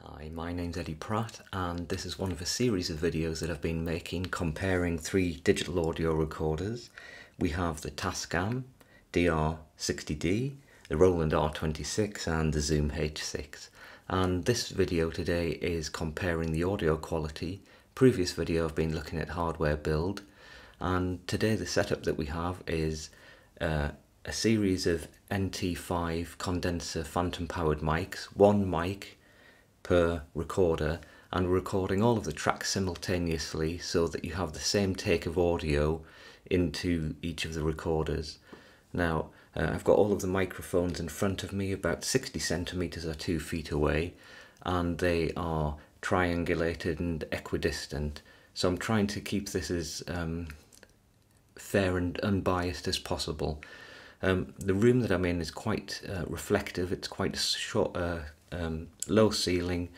Hi, my name's Eddie Pratt and this is one of a series of videos that I've been making comparing three digital audio recorders. We have the Tascam DR60D, the Roland R26 and the Zoom H6 and this video today is comparing the audio quality. Previous video I've been looking at hardware build and today the setup that we have is uh, a series of NT5 condenser phantom powered mics, one mic per recorder and we're recording all of the tracks simultaneously so that you have the same take of audio into each of the recorders. Now, uh, I've got all of the microphones in front of me, about 60 centimeters or two feet away, and they are triangulated and equidistant. So I'm trying to keep this as um, fair and unbiased as possible. Um, the room that I'm in is quite uh, reflective. It's quite short, uh, um, low ceiling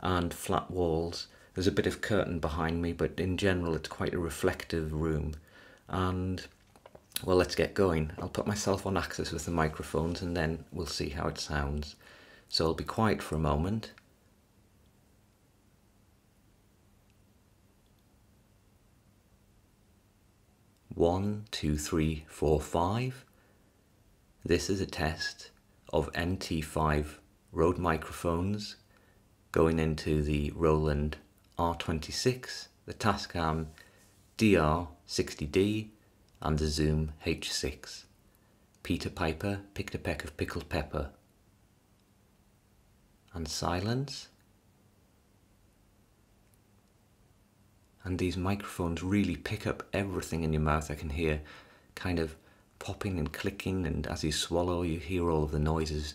and flat walls. There's a bit of curtain behind me, but in general, it's quite a reflective room. And well, let's get going. I'll put myself on axis with the microphones and then we'll see how it sounds. So I'll be quiet for a moment. One, two, three, four, five. This is a test of NT5 Rode microphones going into the Roland R26, the Tascam DR60D and the Zoom H6. Peter Piper picked a peck of pickled pepper. And silence. And these microphones really pick up everything in your mouth. I can hear kind of popping and clicking and as you swallow you hear all of the noises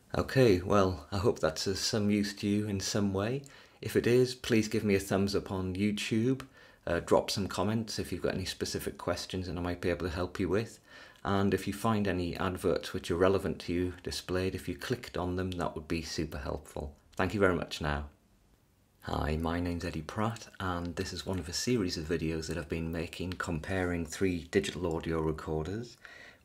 Okay, well, I hope that's of some use to you in some way. If it is, please give me a thumbs up on YouTube. Uh, drop some comments if you've got any specific questions and I might be able to help you with. And if you find any adverts which are relevant to you displayed, if you clicked on them, that would be super helpful. Thank you very much now. Hi, my name's Eddie Pratt and this is one of a series of videos that I've been making comparing three digital audio recorders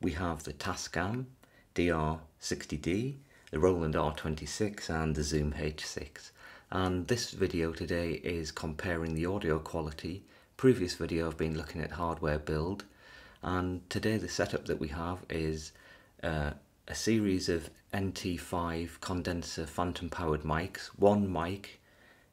we have the Tascam DR60D, the Roland R26 and the Zoom H6. And this video today is comparing the audio quality. Previous video I've been looking at hardware build and today the setup that we have is uh, a series of NT5 condenser phantom powered mics, one mic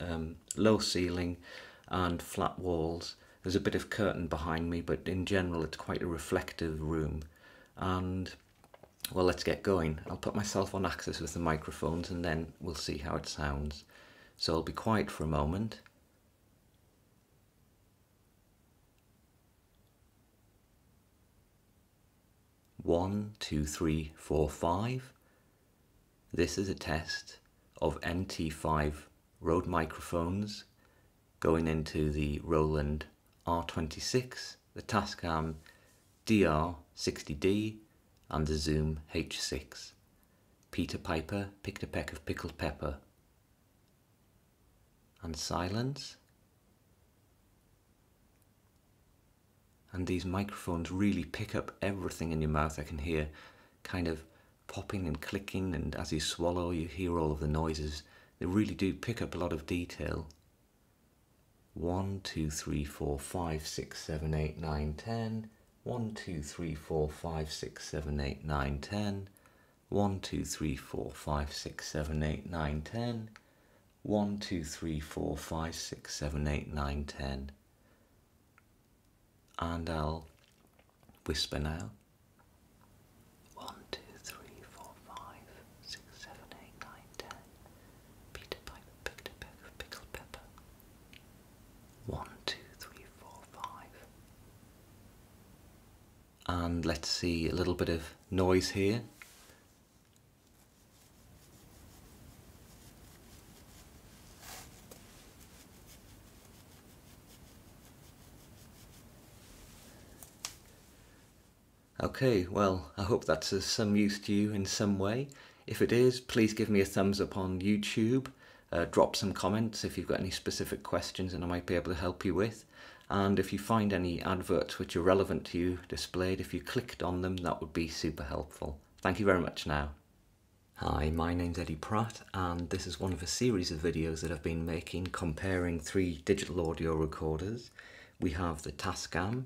Um, low ceiling and flat walls. There's a bit of curtain behind me, but in general, it's quite a reflective room. And well, let's get going. I'll put myself on axis with the microphones and then we'll see how it sounds. So I'll be quiet for a moment. One, two, three, four, five. This is a test of nt 5 Rode microphones going into the Roland R26, the Tascam DR60D and the Zoom H6. Peter Piper picked a peck of pickled pepper. And silence. And these microphones really pick up everything in your mouth. I can hear kind of popping and clicking, and as you swallow, you hear all of the noises. They really do pick up a lot of detail. 1, 2, 3, 4, 5, 6, 7, 8, 9, 10. 1, 2, 3, 4, 5, 6, 7, 8, 9, 10. 1, 2, 3, 4, 5, 6, 7, 8, 9, 10. 1, 2, 3, 4, 5, 6, 7, 8, 9, 10. And I'll whisper now. One, two, three, four, five, six, seven, eight, nine, ten. Peter Piper picked pepper. One, two, three, four, five. And let's see a little bit of noise here. Okay, well, I hope that's of some use to you in some way. If it is, please give me a thumbs up on YouTube. Uh, drop some comments if you've got any specific questions and I might be able to help you with. And if you find any adverts which are relevant to you displayed, if you clicked on them, that would be super helpful. Thank you very much now. Hi, my name's Eddie Pratt and this is one of a series of videos that I've been making comparing three digital audio recorders. We have the Tascam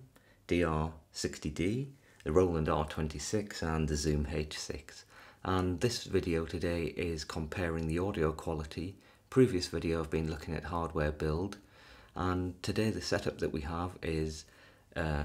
DR60D, the Roland R26 and the Zoom H6. And this video today is comparing the audio quality. Previous video I've been looking at hardware build and today the setup that we have is uh,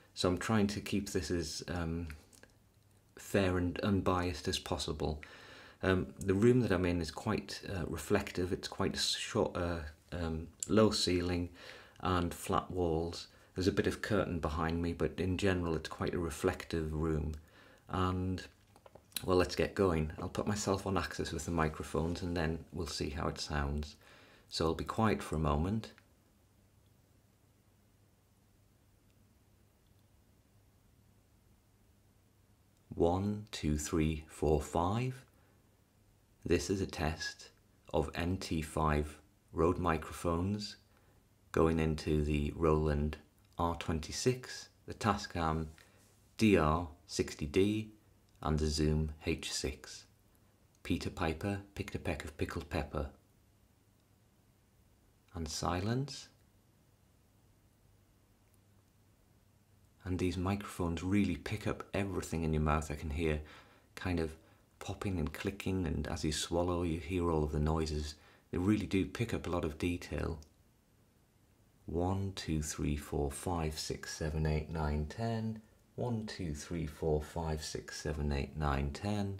So I'm trying to keep this as um, fair and unbiased as possible. Um, the room that I'm in is quite uh, reflective. It's quite short, uh, um, low ceiling and flat walls. There's a bit of curtain behind me, but in general, it's quite a reflective room. And well, let's get going. I'll put myself on axis with the microphones and then we'll see how it sounds. So I'll be quiet for a moment. One, two, three, four, five. This is a test of nt 5 Rode microphones going into the Roland R26, the Tascam DR60D and the Zoom H6. Peter Piper picked a peck of pickled pepper and silence. And these microphones really pick up everything in your mouth. I can hear kind of popping and clicking, and as you swallow, you hear all of the noises. They really do pick up a lot of detail. 1, 2, 3, 4, 5, 6, 7, 8, 9, 10. 1, 2, 3, 4, 5, 6, 7, 8, 9, 10.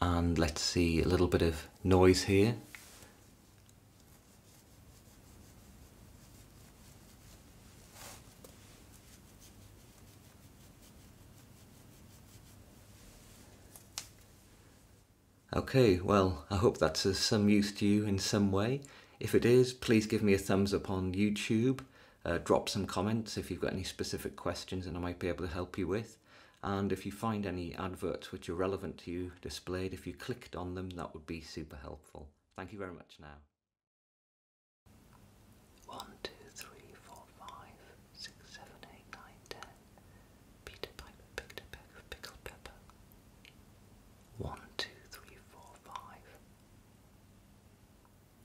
and let's see a little bit of noise here. Okay, well, I hope that's of some use to you in some way. If it is, please give me a thumbs up on YouTube uh, drop some comments if you've got any specific questions and I might be able to help you with. And if you find any adverts which are relevant to you displayed, if you clicked on them, that would be super helpful. Thank you very much now. One, two, three, four, five, six, seven, eight, nine, ten. Peter Piper picked a peck pepper. One, two, three, four, five.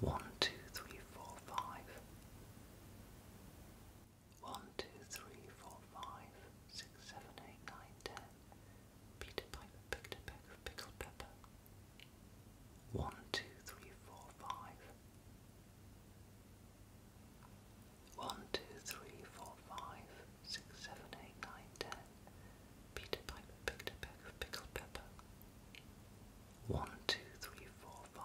One, two, three, four, five. One, two, three, four, five, six, seven, eight, nine, ten. Peter Piper picked a peck of pickled pepper. One, two, three, four, five. One, two, three, four, five, six, seven, eight, nine, ten. Peter Piper picked a peck of pickled pepper. One, two, three, four, five.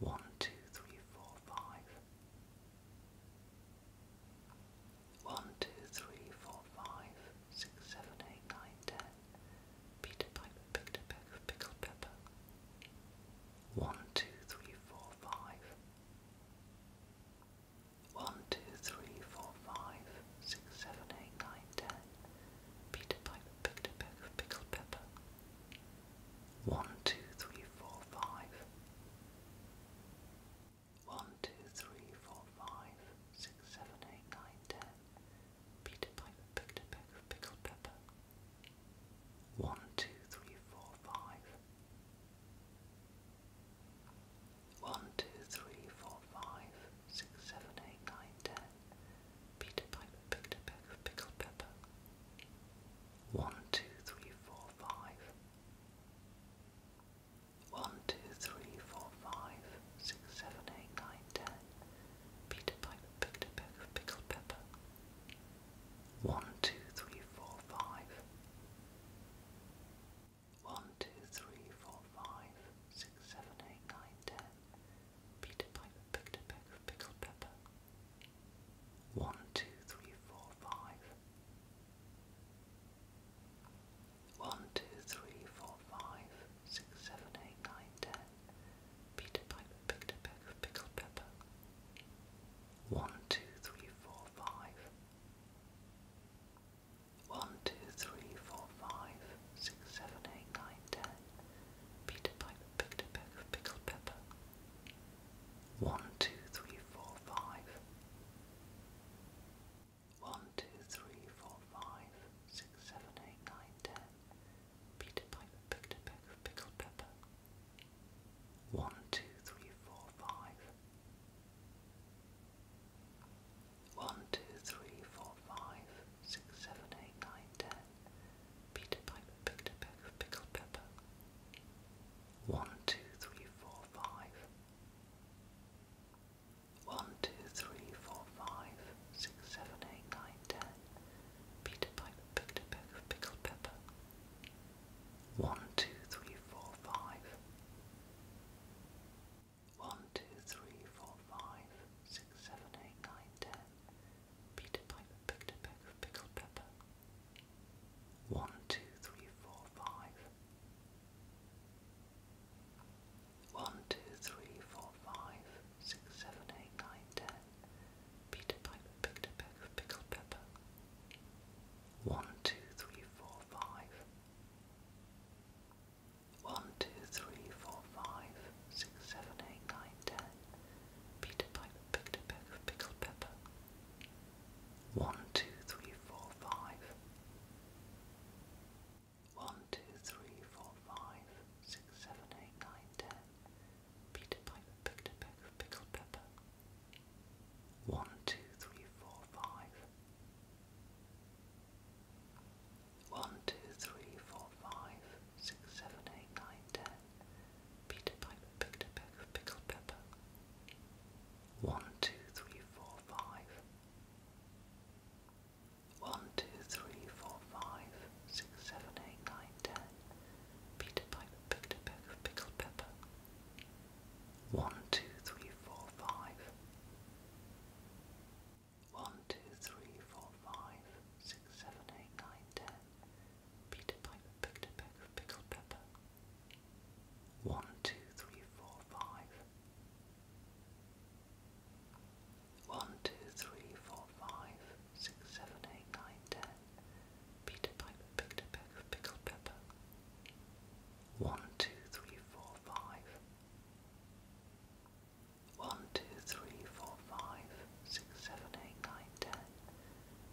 One, two, three, four, five. One, two, three, four, five, six, seven, eight, nine, ten. Peter Piper picked a peck of pickled pepper. One, two, three, four, five. One, two, three, four, five, six, seven, eight, nine, ten. Peter Piper picked a pickled pepper. One, two, three, four, five. One, two, three, four, five, six, seven, eight, nine, ten. Peter Piper picked a peck of pickled pepper. One, two, three, four, five. One, two, three, four, five, six, seven, eight, nine, ten. Peter Piper picked a pickled pepper. One, two, three, four, five. One, two, three, four, five, six, seven, eight, nine, ten. Peter Piper picked a peck of pickled pepper. One, two, three, four, five. One, two, three, four, five, six, seven, eight, nine, ten. Peter Piper picked a peck of pickled pepper. One, two, three, four, five. One, two, three, four, five, six, seven, eight, nine, ten. Peter Piper picked a peck of pickled pepper. One, two, three, four, five. One, two, three, four, five, six, seven, eight, nine, ten. Peter Piper picked a peck of pickled pepper. One, two, three, four, five. One, two, three, four, five, six, seven, eight, nine, ten. Peter Piper picked a peck of pickled pepper. One, two, three, four, five. One, two, three, four, five, six, seven, eight, nine, ten. Peter Piper picked a peck pickled pepper. One, two, three, four, five. One, two, three, four, five, six, seven, eight, nine, ten. Peter Piper picked a pickled pepper. One, two, three, four, five. One, two, three, four, five, six, seven, eight, nine, ten. Peter Piper picked a of pickled pepper. One, two, three, four, five. One, two, three, four, five, six, seven, eight, nine, ten. Peter Piper picked a peck of pickled pepper. One, two, three, four, five. One, two, three, four, five, six, seven, eight, nine, ten. Peter Piper picked a peck of pickled pepper. One, two, three, four, five. One, two, three, four, five, six, seven, eight, nine, ten. Peter Piper picked a peck pickled pepper. One, two, three, four, five. One, two, three, four, five, six, seven, eight, nine, ten. Peter Piper picked a peck of pickled pepper. One, two, three, four, five. One, two, three, four, five, six, seven, eight, nine, ten. Peter Piper picked a pickled pepper. One, two, three, four, five. One, two, three, four, five, six, seven, eight, nine, ten. Peter Piper picked a peck of pickled pepper. One, two, three, four, five. One, two, three, four, five, six, seven, eight, nine, ten. Peter Piper picked a peck of pickled pepper. One, two, three, four, five. One, two, three, four, five, six, seven, eight, nine, ten.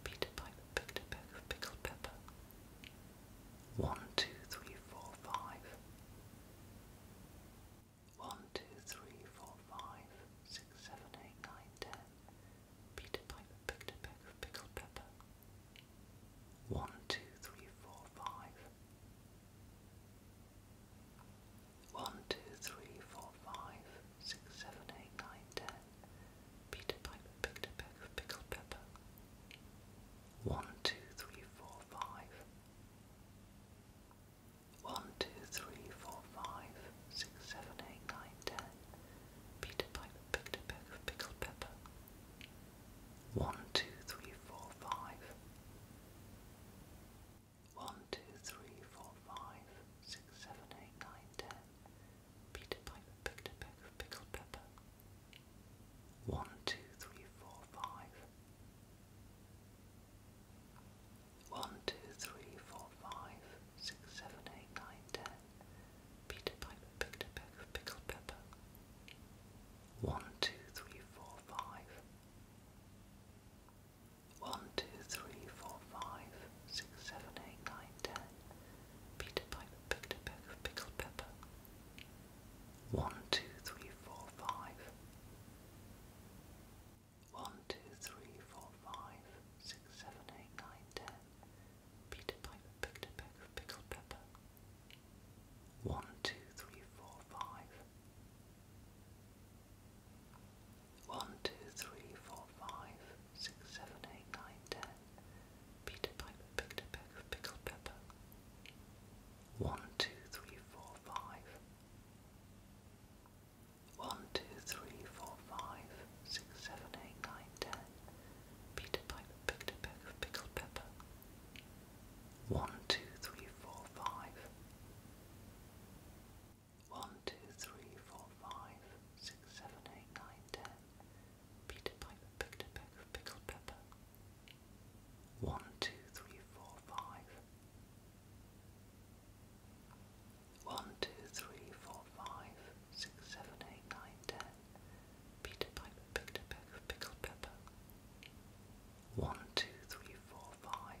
Peter Piper picked a peck of pickled pepper. One, two, three, four, five. One, two, three, four, five, six, seven, eight, nine, ten. Peter Piper picked a peck of pickled pepper. One, two, three, four, five. One, two, three, four, five, six, seven, eight, nine, ten. Peter Piper picked a peck of pickled pepper. One, two, three, four, five. One, two, three, four, five, six, seven, eight, nine, ten. Peter Piper picked a pickled pepper. One, two, three, four, five. One, two, three, four, five, six, seven, eight, nine, ten. Peter Piper picked a peck of pickled pepper. One, two, three, four, five. One, two, three, four, five, six, seven, eight, nine, ten. Peter Piper picked a peck of pickled pepper. One, two, three, four, five. One, two, three, four, five, six, seven, eight, nine, ten. Peter Piper picked a peck of pickled pepper. One, two, three, four, five. One, two, three, four, five, six, seven, eight, nine, ten. Peter Piper picked a peck of pickled pepper. One, two, three, four, five. One, two, three, four, five, six, seven, eight, nine, ten. Peter Piper picked a peck of pickled pepper. One, two, three, four, five. One, two, three, four, five, six, seven, eight, nine, ten. Peter Piper picked a peck of pickled pepper. One, two, three, four, five. One, two, three, four, five, six, seven, eight, nine, ten. Peter Piper picked a peck of pickled pepper. One, two, three, four, five. One, two, three, four, five, six, seven, eight, nine, ten. Peter Piper picked a peck of pickled pepper. One, two, three, four, five.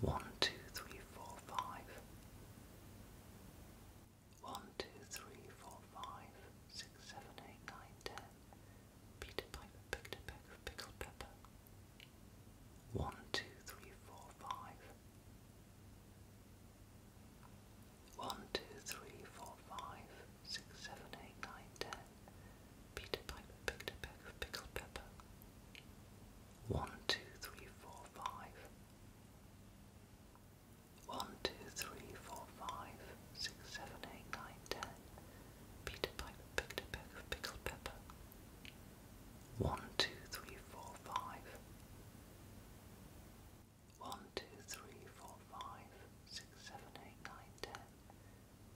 One, two, three, four, five. One, two, three, four, five, six, seven, eight, nine, ten. Peter Piper picked a peck of pickled pepper. One, two, three, four, five. One, two, three, four, five, six, seven, eight, nine, ten. Peter Piper picked a pickled pepper. One, two, three, four, five. One, two, three, four, five, six, seven, eight, nine, ten. Peter Piper picked a peck of pickled pepper. One, two, three, four, five. One, two, three, four, five, six, seven, eight, nine, ten.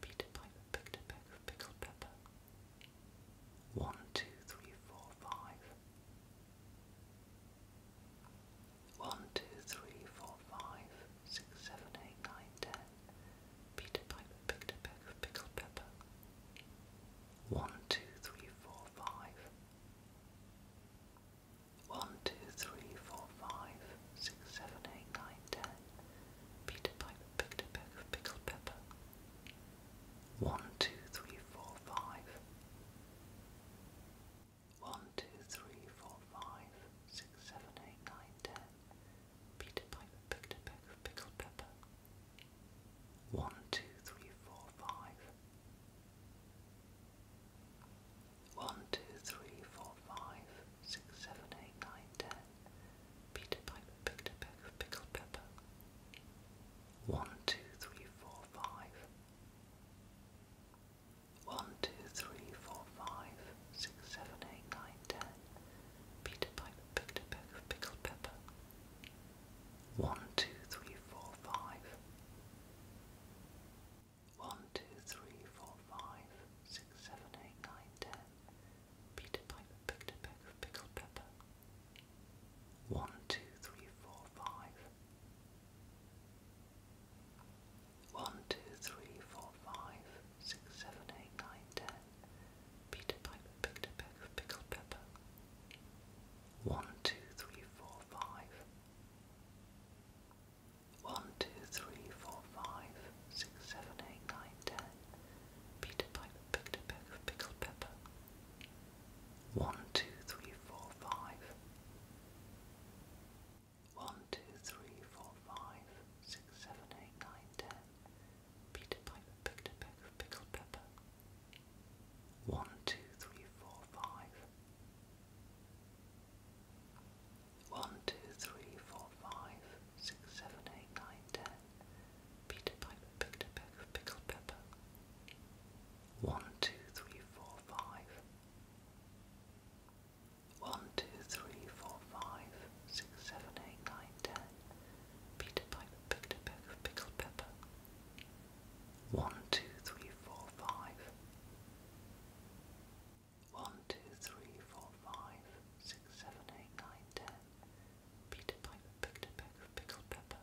Peter Piper picked a pickled pepper. One, two, three, four, five. One, two, three, four, five, six, seven, eight, nine, ten. Peter Piper picked a peck of pickled pepper. One, two, three, four, five. One, two, three, four, five, six, seven, eight, nine, ten. Peter Piper picked a pickled pepper. One, two, three, four, five. One, two, three, four, five, six, seven, eight, nine, ten. Peter Piper picked a peck of pickled pepper. One, two, three, four, five. One, two, three, four, five, six, seven, eight, nine, ten. Peter Piper picked a pickled pepper. One, two, three, four, five. One, two, three, four, five, six, seven, eight, nine, ten. Peter Piper picked a peck of pickled pepper. One, two, three, four, five. One, two, three, four, five, six, seven, eight, nine, ten. Peter Piper picked a peck of pickled pepper. One, two, three, four, five. One, two, three, four, five, six, seven, eight, nine, ten. Peter Piper picked a peck of pickled pepper. One, two, three, four, five. One, two, three, four, five, six, seven, eight, nine, ten. Peter Piper picked a peck of pickled pepper. One, two, three, four, five. One, two, three, four, five, six, seven, eight, nine, ten. Peter Piper picked a peck of pickled pepper. One, two, three, four, five. One, two, three, four, five, six, seven, eight, nine, ten. Peter Piper picked a pickled pepper. One, two, three, four, five. One, two, three, four, five, six, seven, eight, nine, ten. Peter Piper picked a pickled pepper. One, two, three, four, five. One, two, three, four, five, six, seven, eight, nine, ten. Peter Piper picked a pickled pepper.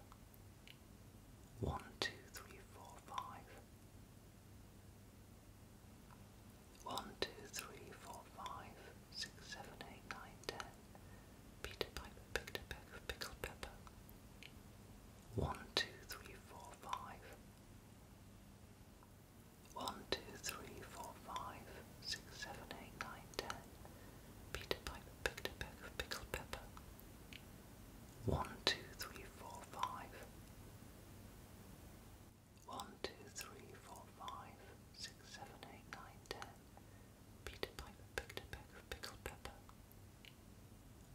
One, two, three, four, five. One, two, three, four, five, six, seven, eight, nine, ten. Peter Piper picked a peck of pickled pepper. One, two, three, four, five. One, two, three, four, five, six, seven, eight, nine, ten. Peter Piper picked a pickled pepper. One, two, three, four, five. One, two, three, four, five, six, seven, eight, nine, ten. Peter Piper picked a pickled pepper.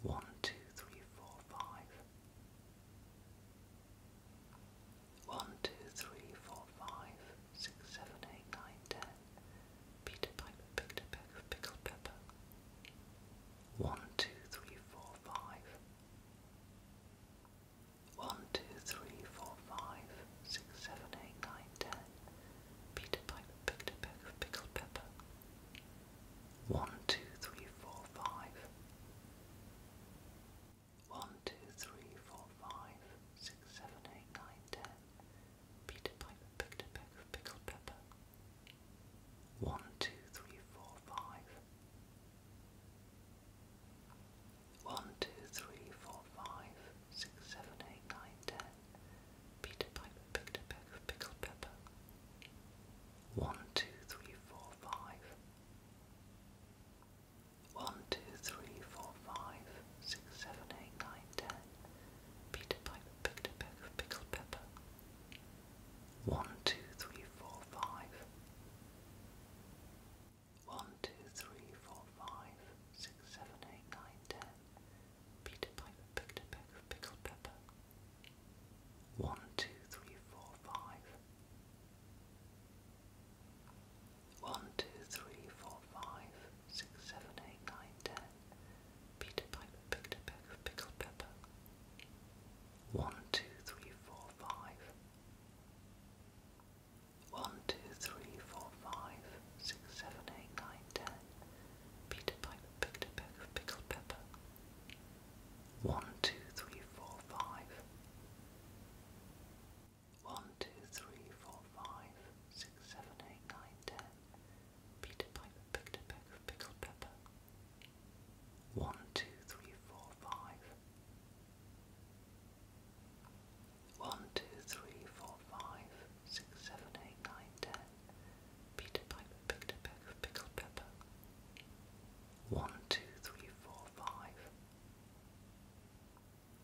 One, two, three, four, five. One, two, three, four, five, six, seven, eight, nine, ten. Peter Piper picked a peck of pickled pepper. One, two, three, four, five. One, two, three, four, five, six, seven, eight, nine, ten. Peter Piper picked a peck of pickled pepper. One, two, three, four, five. One, two, three, four, five, six, seven, eight, nine, ten. Peter Piper picked a peck of pickled pepper. One, two, three, four, five. One, two, three, four, five, six, seven, eight, nine, ten. Peter Piper picked a peck of pickled pepper. One, two, three, four, five. One, two, three, four, five, six, seven, eight, nine, ten. Peter Piper picked a peck of pickled pepper. One, two, three, four, five. One, two, three, four, five, six, seven, eight, nine, ten. Peter Piper picked a peck of pickled pepper. One, two, three, four, five. One, two, three, four, five, six, seven, eight, nine, ten. Peter Piper picked a peck of pickled pepper. One, two, three, four, five. One, two, three, four, five, six, seven, eight, nine, ten. Peter Piper picked a pickled pepper. One, two, three, four, five. One, two, three, four, five, six, seven, eight, nine, ten. Peter Piper picked a peck of pickled pepper. One, two, three, four, five. One, two, three, four, five, six, seven, eight, nine, ten. Peter Piper picked a pickled pepper. One, two, three, four, five.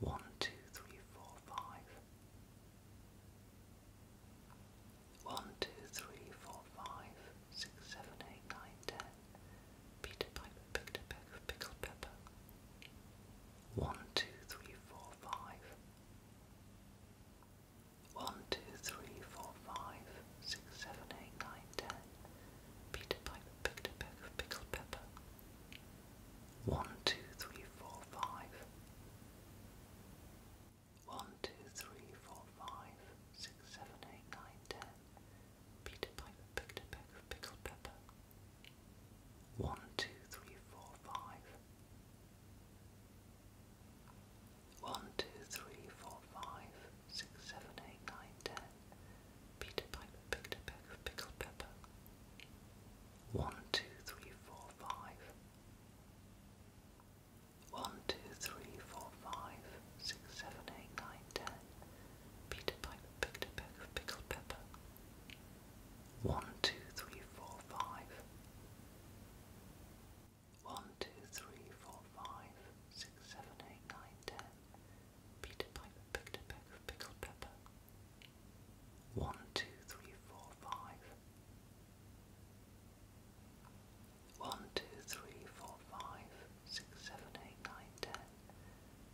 One, two, three, four, five. One, two, three, four, five, six, seven, eight, nine, ten. Peter Piper picked a peck of pickled pepper. One, two, three, four, five. One, two, three, four, five, six, seven, eight, nine, ten. Peter Piper picked a peck of pickled pepper. One, two, three, four, five. One, two, three, four, five, six, seven, eight, nine, ten. Peter Piper picked a peck of pickled pepper. One, two, three, four, five. One, two, three, four, five, six, seven, eight, nine, ten. Peter Piper picked a peck of pickled pepper. One, two, three, four, five. One, two, three, four, five, six, seven, eight, nine, ten. Peter Piper picked a peck of pickled pepper. One, two, three, four, five. One, two, three, four, five, six, seven, eight, nine, ten. Peter Piper picked a pickled pepper. One, two, three, four, five. One, two, three, four, five, six, seven, eight, nine, ten.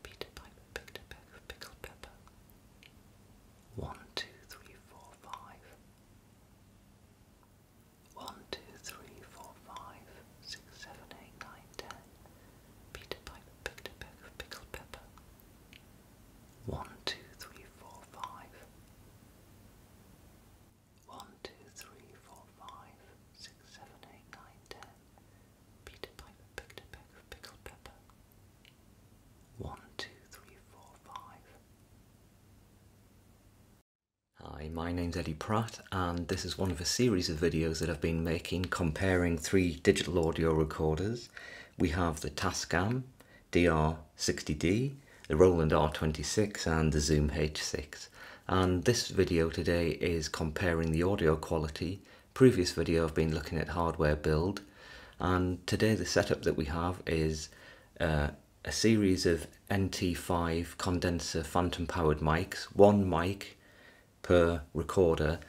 Peter Piper picked a peck of pickled pepper. One, two, three, four, five. One, two, three, four, five, six, seven, eight, nine, ten. Peter Piper picked a peck pepper. One, two, three, four, five. One, two, three, four, five, six, seven, eight, nine, ten. Peter Piper pickled pepper. One, two, three, four, five. Hi, my name's Eddie Pratt, and this is one of a series of videos that I've been making comparing three digital audio recorders we have the Tascam DR60D, the Roland R26 and the Zoom H6. And this video today is comparing the audio quality. Previous video I've been looking at hardware build and today the setup that we have is uh, a series of NT5 condenser phantom powered mics, one mic per recorder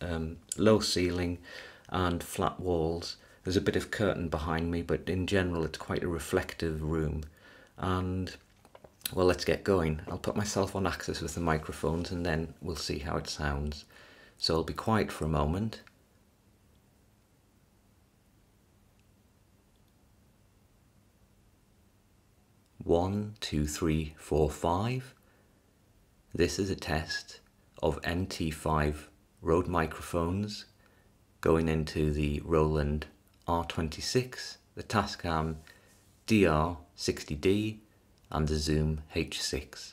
Um, low ceiling and flat walls. There's a bit of curtain behind me, but in general, it's quite a reflective room. And well, let's get going. I'll put myself on axis with the microphones and then we'll see how it sounds. So I'll be quiet for a moment. One, two, three, four, five. This is a test of nt 5 Rode microphones going into the Roland R26, the Tascam DR60D and the Zoom H6.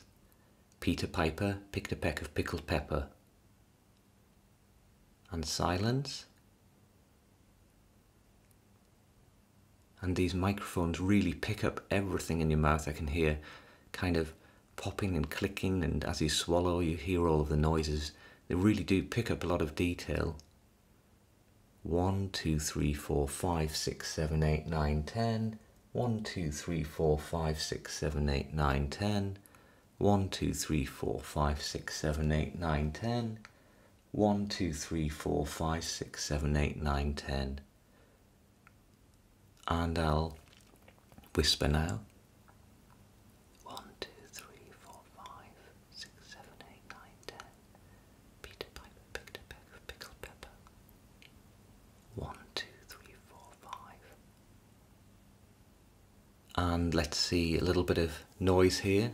Peter Piper picked a peck of pickled pepper. And silence and these microphones really pick up everything in your mouth. I can hear kind of popping and clicking, and as you swallow, you hear all of the noises. They really do pick up a lot of detail. 1, 2, 3, 4, 5, 6, 7, 8, 9, 10. 1, 2, 3, 4, 5, 6, 7, 8, 9, 10. 1, 2, 3, 4, 5, 6, 7, 8, 9, 10. 1, 2, 3, 4, 5, 6, 7, 8, 9, 10 and I'll whisper now. One, two, three, four, five, six, seven, eight, nine, ten. Peter Piper picked a pickled pepper. One, two, three, four, five. And let's see a little bit of noise here.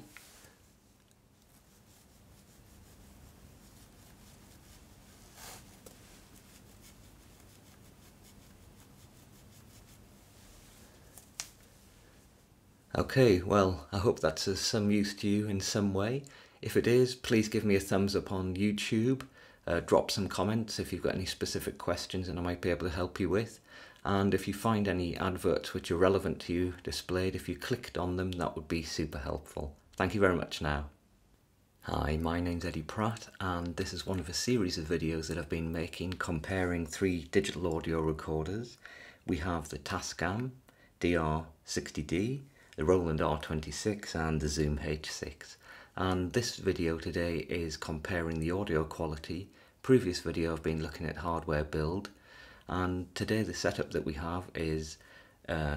Okay, well, I hope that's of some use to you in some way. If it is, please give me a thumbs up on YouTube. Uh, drop some comments if you've got any specific questions and I might be able to help you with. And if you find any adverts which are relevant to you displayed, if you clicked on them, that would be super helpful. Thank you very much now. Hi, my name's Eddie Pratt and this is one of a series of videos that I've been making comparing three digital audio recorders. We have the Tascam DR60D, the Roland R26 and the Zoom H6 and this video today is comparing the audio quality. Previous video I've been looking at hardware build and today the setup that we have is uh,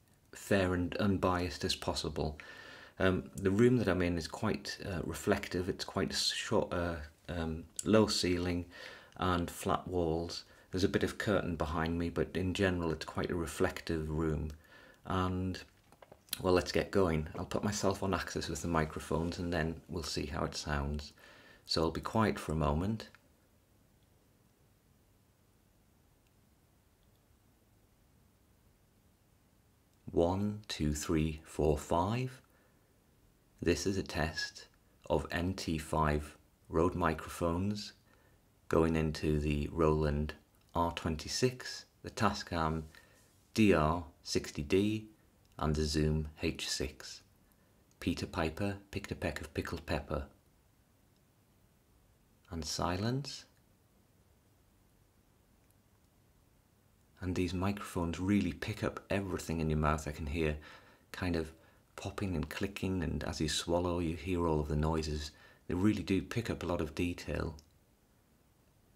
fair and unbiased as possible. Um, the room that I'm in is quite uh, reflective, it's quite short, uh, um, low ceiling and flat walls. There's a bit of curtain behind me, but in general it's quite a reflective room. And well, let's get going. I'll put myself on axis with the microphones and then we'll see how it sounds. So I'll be quiet for a moment. One, two, three, four, five. This is a test of NT5 Rode microphones going into the Roland R26, the Tascam DR60D and the Zoom H6. Peter Piper picked a peck of pickled pepper and silence. And these microphones really pick up everything in your mouth. I can hear kind of popping and clicking, and as you swallow, you hear all of the noises. They really do pick up a lot of detail.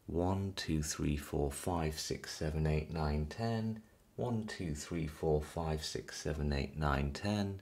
1, 2, 3, 4, 5, 6, 7, 8, 9, 10. 1, 2, 3, 4, 5, 6, 7, 8, 9, 10.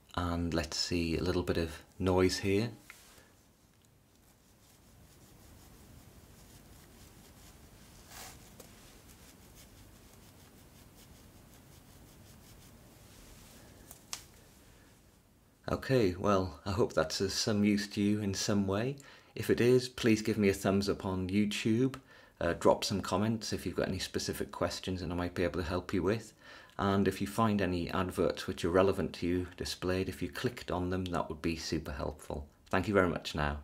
and let's see a little bit of noise here. Okay, well, I hope that's of some use to you in some way. If it is, please give me a thumbs up on YouTube. Uh, drop some comments if you've got any specific questions that I might be able to help you with and if you find any adverts which are relevant to you displayed, if you clicked on them, that would be super helpful. Thank you very much now.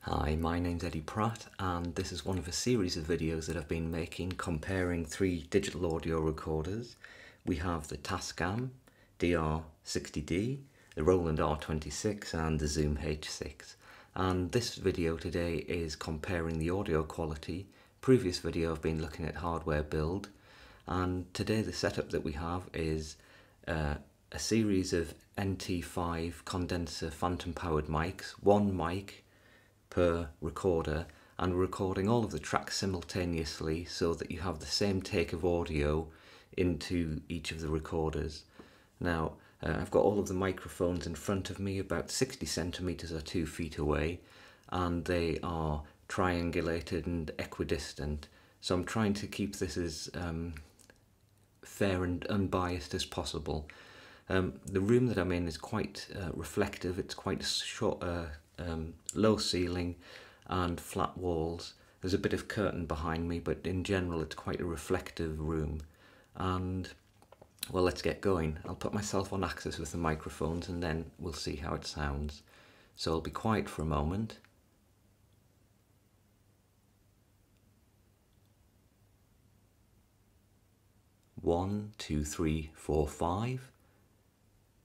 Hi, my name's Eddie Pratt and this is one of a series of videos that I've been making comparing three digital audio recorders. We have the Tascam DR 60 d the Roland R26 and the Zoom H6. And this video today is comparing the audio quality previous video I've been looking at hardware build and today the setup that we have is uh, a series of NT5 condenser phantom powered mics, one mic per recorder and we're recording all of the tracks simultaneously so that you have the same take of audio into each of the recorders. Now uh, I've got all of the mic Phones in front of me, about 60 centimeters or two feet away, and they are triangulated and equidistant. So I'm trying to keep this as um, fair and unbiased as possible. Um, the room that I'm in is quite uh, reflective. It's quite short, uh, um, low ceiling and flat walls. There's a bit of curtain behind me, but in general, it's quite a reflective room. And well, let's get going. I'll put myself on axis with the microphones and then we'll see how it sounds. So I'll be quiet for a moment. One, two, three, four, five.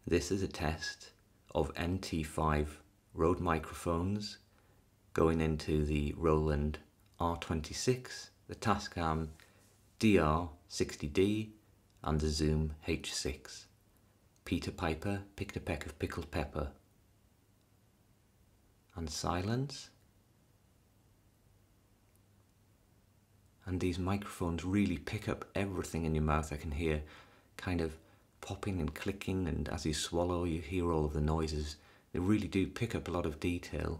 This is a test of NT5 Rode microphones going into the Roland R26 the Tascam DR60D under Zoom H6. Peter Piper picked a peck of pickled pepper. And silence. And these microphones really pick up everything in your mouth. I can hear kind of popping and clicking, and as you swallow, you hear all of the noises. They really do pick up a lot of detail.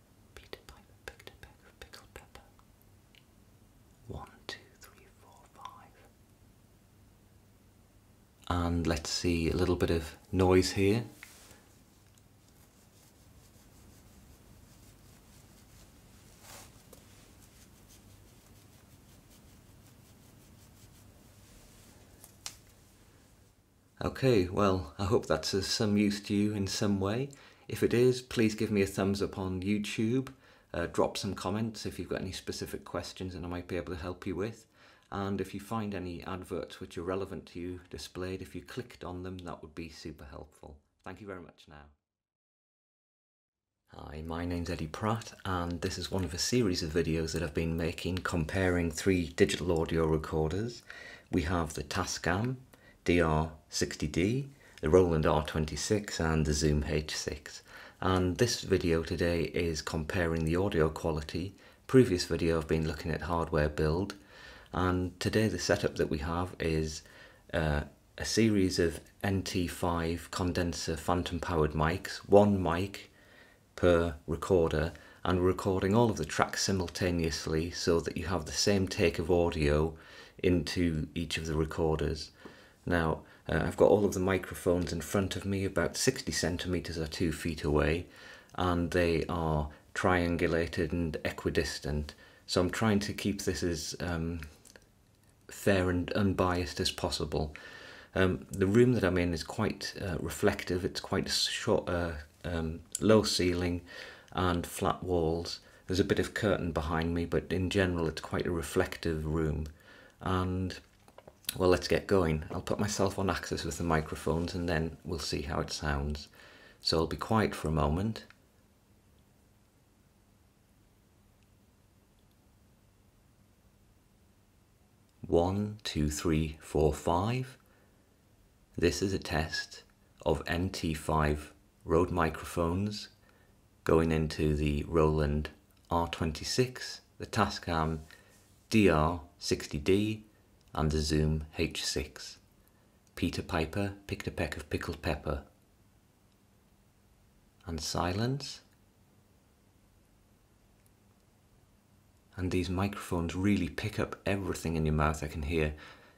pickled pepper. One, two, three, four, five. And let's see a little bit of noise here. Okay, well, I hope that's of some use to you in some way. If it is, please give me a thumbs up on YouTube. Uh, drop some comments if you've got any specific questions and I might be able to help you with. And if you find any adverts which are relevant to you displayed, if you clicked on them, that would be super helpful. Thank you very much now. Hi, my name's Eddie Pratt and this is one of a series of videos that I've been making comparing three digital audio recorders. We have the Tascam, Dr. 60 d the Roland R26 and the Zoom H6 and this video today is comparing the audio quality. Previous video I've been looking at hardware build and today the setup that we have is uh, a series of NT5 condenser phantom powered mics, one mic per recorder and we're recording all of the tracks simultaneously so that you have the same take of audio into each of the recorders. Now, uh, I've got all of the microphones in front of me about 60 centimetres or 2 feet away and they are triangulated and equidistant. So I'm trying to keep this as um, fair and unbiased as possible. Um, the room that I'm in is quite uh, reflective, it's quite short, uh, um, low ceiling and flat walls. There's a bit of curtain behind me, but in general, it's quite a reflective room. And well, let's get going. I'll put myself on axis with the microphones and then we'll see how it sounds. So I'll be quiet for a moment. One, two, three, four, five. This is a test of nt 5 Rode microphones going into the Roland R26, the Tascam DR60D and the Zoom H6. Peter Piper picked a peck of pickled pepper. And silence. And these microphones really pick up everything in your mouth. I can hear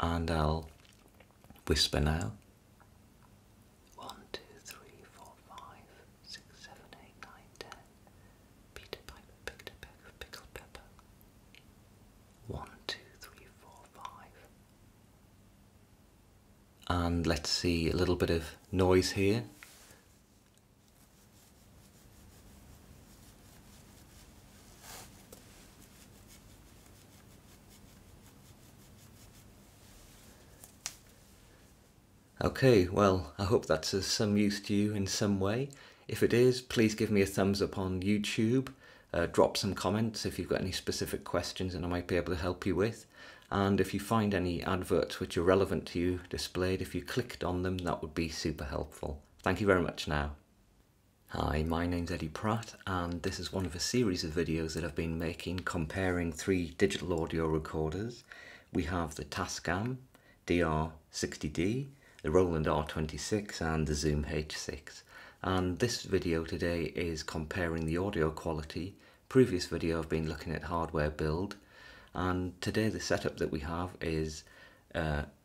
and I'll whisper now. One, two, three, four, five, six, seven, eight, nine, ten. Peter Piper pickled pepper. One, two, three, four, five. And let's see a little bit of noise here. Okay, well, I hope that's of some use to you in some way. If it is, please give me a thumbs up on YouTube. Uh, drop some comments if you've got any specific questions and I might be able to help you with. And if you find any adverts which are relevant to you displayed, if you clicked on them, that would be super helpful. Thank you very much now. Hi, my name's Eddie Pratt and this is one of a series of videos that I've been making comparing three digital audio recorders. We have the Tascam DR60D, the Roland R26 and the Zoom H6 and this video today is comparing the audio quality. Previous video I've been looking at hardware build and today the setup that we have is uh,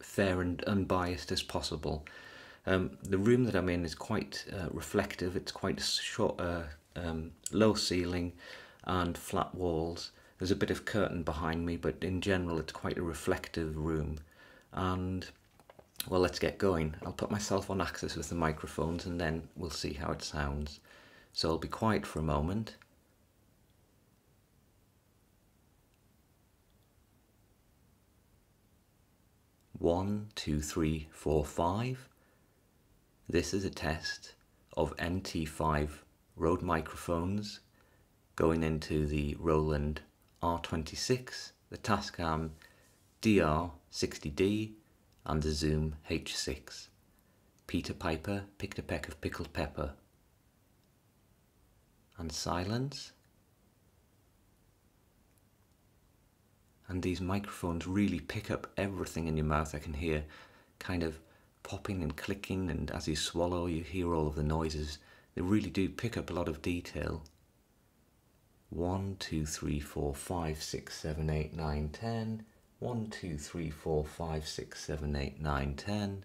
fair and unbiased as possible. Um, the room that I'm in is quite uh, reflective. It's quite short, uh, um, low ceiling and flat walls. There's a bit of curtain behind me, but in general, it's quite a reflective room. And well, let's get going. I'll put myself on axis with the microphones and then we'll see how it sounds. So I'll be quiet for a moment one, two, three, four, five. This is a test of nt 5 Rode microphones going into the Roland R26, the Tascam DR60D and the Zoom H6. Peter Piper picked a peck of pickled pepper and silence. And these microphones really pick up everything in your mouth. I can hear kind of popping and clicking, and as you swallow, you hear all of the noises. They really do pick up a lot of detail. 1, 2, 3, 4, 5, 6, 7, 8, 9, 10. 1, 2, 3, 4, 5, 6, 7, 8, 9, 10.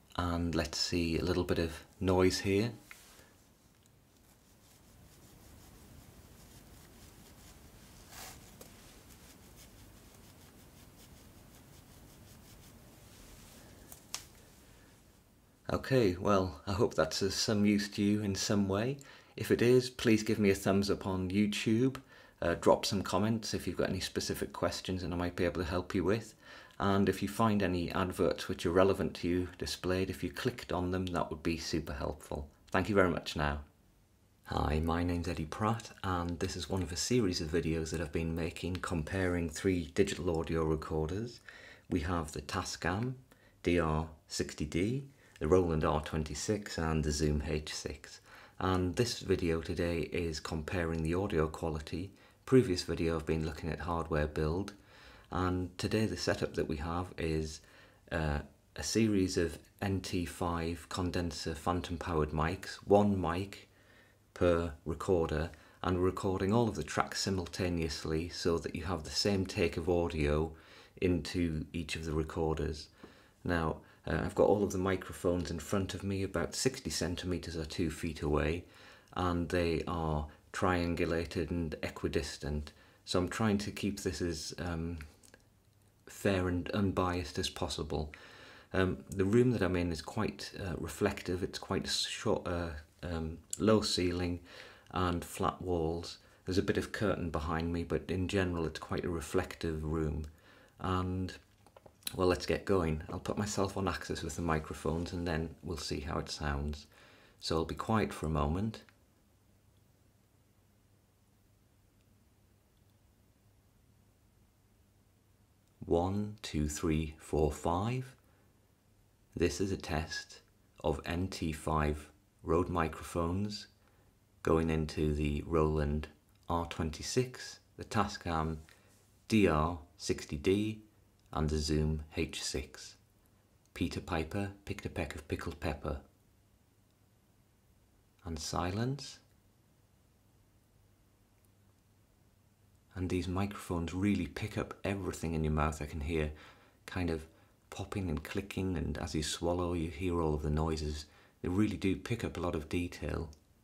and let's see a little bit of noise here. Okay, well, I hope that's of some use to you in some way. If it is, please give me a thumbs up on YouTube. Uh, drop some comments if you've got any specific questions and I might be able to help you with and if you find any adverts which are relevant to you displayed, if you clicked on them, that would be super helpful. Thank you very much now. Hi, my name's Eddie Pratt and this is one of a series of videos that I've been making comparing three digital audio recorders. We have the Tascam DR60D, the Roland R26 and the Zoom H6. And this video today is comparing the audio quality previous video I've been looking at hardware build and today the setup that we have is uh, a series of NT5 condenser phantom powered mics, one mic per recorder and we're recording all of the tracks simultaneously so that you have the same take of audio into each of the recorders. Now uh, I've got all of the microphones in front of me about 60 centimeters or 2 feet away and they are triangulated and equidistant. So I'm trying to keep this as um, fair and unbiased as possible. Um, the room that I'm in is quite uh, reflective. It's quite short, uh, um, low ceiling and flat walls. There's a bit of curtain behind me, but in general, it's quite a reflective room. And well, let's get going. I'll put myself on axis with the microphones and then we'll see how it sounds. So I'll be quiet for a moment. One, two, three, four, five. This is a test of NT5 Rode microphones going into the Roland R26 the Tascam DR60D under Zoom H6. Peter Piper picked a peck of pickled pepper. And silence. And these microphones really pick up everything in your mouth. I can hear kind of popping and clicking, and as you swallow, you hear all of the noises. They really do pick up a lot of detail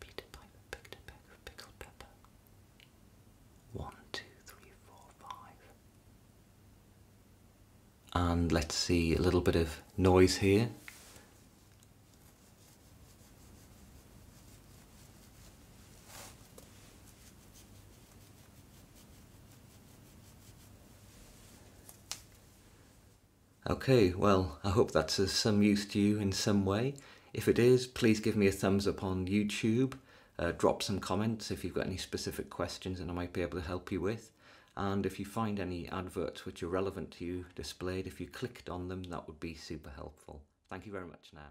Peter Piper picked a peck pickled pepper. One, two, three, four, five. And let's see a little bit of noise here. Okay, well, I hope that's of some use to you in some way. If it is, please give me a thumbs up on YouTube. Uh, drop some comments if you've got any specific questions that I might be able to help you with. And if you find any adverts which are relevant to you displayed, if you clicked on them, that would be super helpful. Thank you very much now.